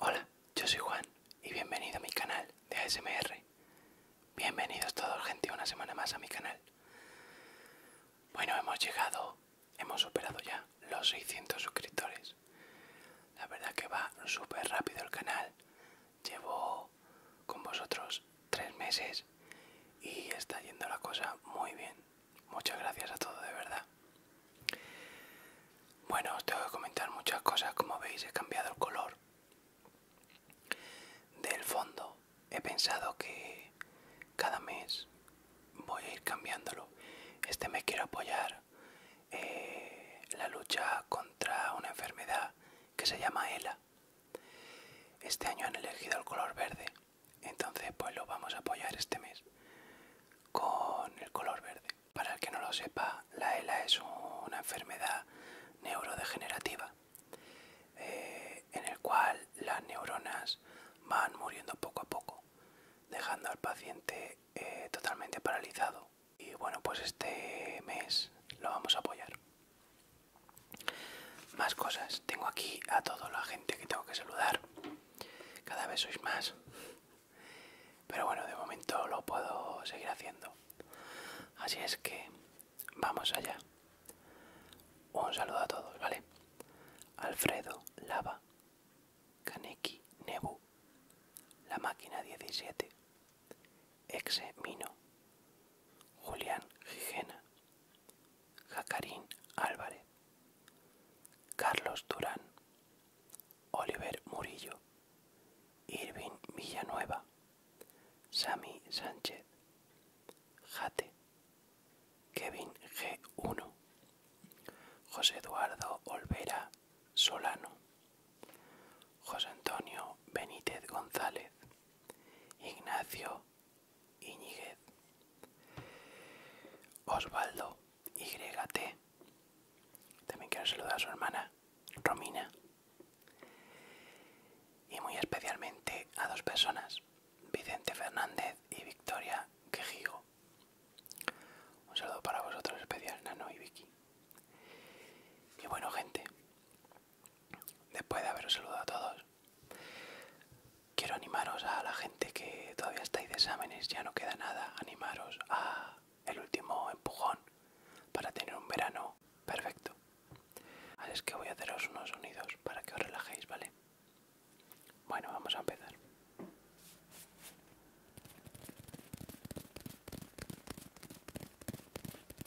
Hola, yo soy Juan y bienvenido a mi canal de ASMR. Bienvenidos todos gente una semana más a mi canal. Bueno, hemos llegado, hemos superado ya los 600 suscriptores. La verdad que va súper rápido el canal. Llevo con vosotros tres meses y está yendo la cosa muy bien. Muchas gracias a todos, de verdad. Bueno, os tengo que comentar muchas cosas. Como veis, he cambiado el color del fondo. He pensado que cada mes voy a ir cambiándolo. Este me quiero apoyar eh, la lucha contra una enfermedad que se llama ELA, este año han elegido el color verde, entonces pues lo vamos a apoyar este mes con el color verde. Para el que no lo sepa, la ELA es una enfermedad neurodegenerativa eh, en el cual las neuronas van muriendo poco a poco, dejando al paciente eh, totalmente paralizado. Y bueno, pues este mes lo vamos a apoyar. Más cosas. Tengo aquí a toda la gente que tengo que saludar. Cada vez sois más. Pero bueno, de momento lo puedo seguir haciendo. Así es que vamos allá. Un saludo a todos, ¿vale? Alfredo, Lava, Kaneki, Nebu, La Máquina 17, Exe Mino, Julián Gigena, Jacarín Álvarez, Carlos Durán, Oliver Murillo, Irvin Villanueva, Sami Sánchez, Jate, Kevin G1, José Eduardo Olvera Solano, José Antonio Benítez González, Ignacio Iñíguez Osvaldo YT. También quiero saludar a su hermana, Romina. Y muy especialmente a dos personas, Vicente Fernández y Victoria Quejigo. Un saludo para vosotros especial, Nano y Vicky. Y bueno, gente, Después de haberos saludado a todos, quiero animaros a la gente que todavía estáis de exámenes, ya no queda nada, animaros a el último empujón para tener un verano perfecto. Así es que voy a haceros unos sonidos para que os relajéis, ¿vale? Bueno, vamos a empezar.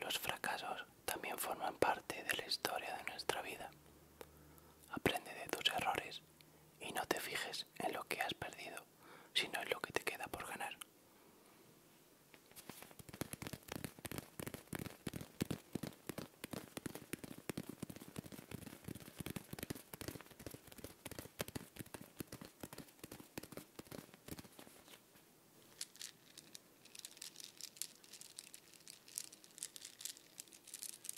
Los fracasos también forman parte de la historia de nuestra vida. Aprende de tus errores y no te fijes en lo que has perdido, sino en lo que te queda por ganar.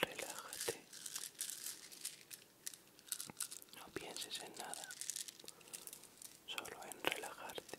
relájate, no pienses en nada, solo en relajarte.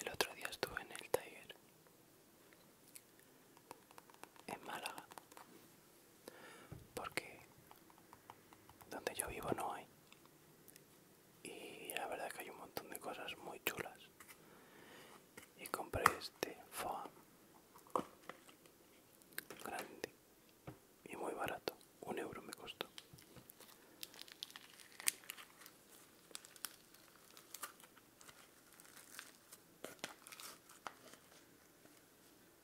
El otro día estuve en el taller en Málaga porque donde yo vivo no hay y la verdad que hay un montón de cosas muy chulas y compré este foam grande y muy barato un euro me costó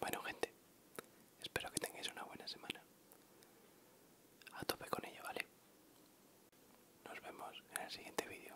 Bueno gente, espero que tengáis una buena semana. A tope con ello, ¿vale? Nos vemos en el siguiente vídeo.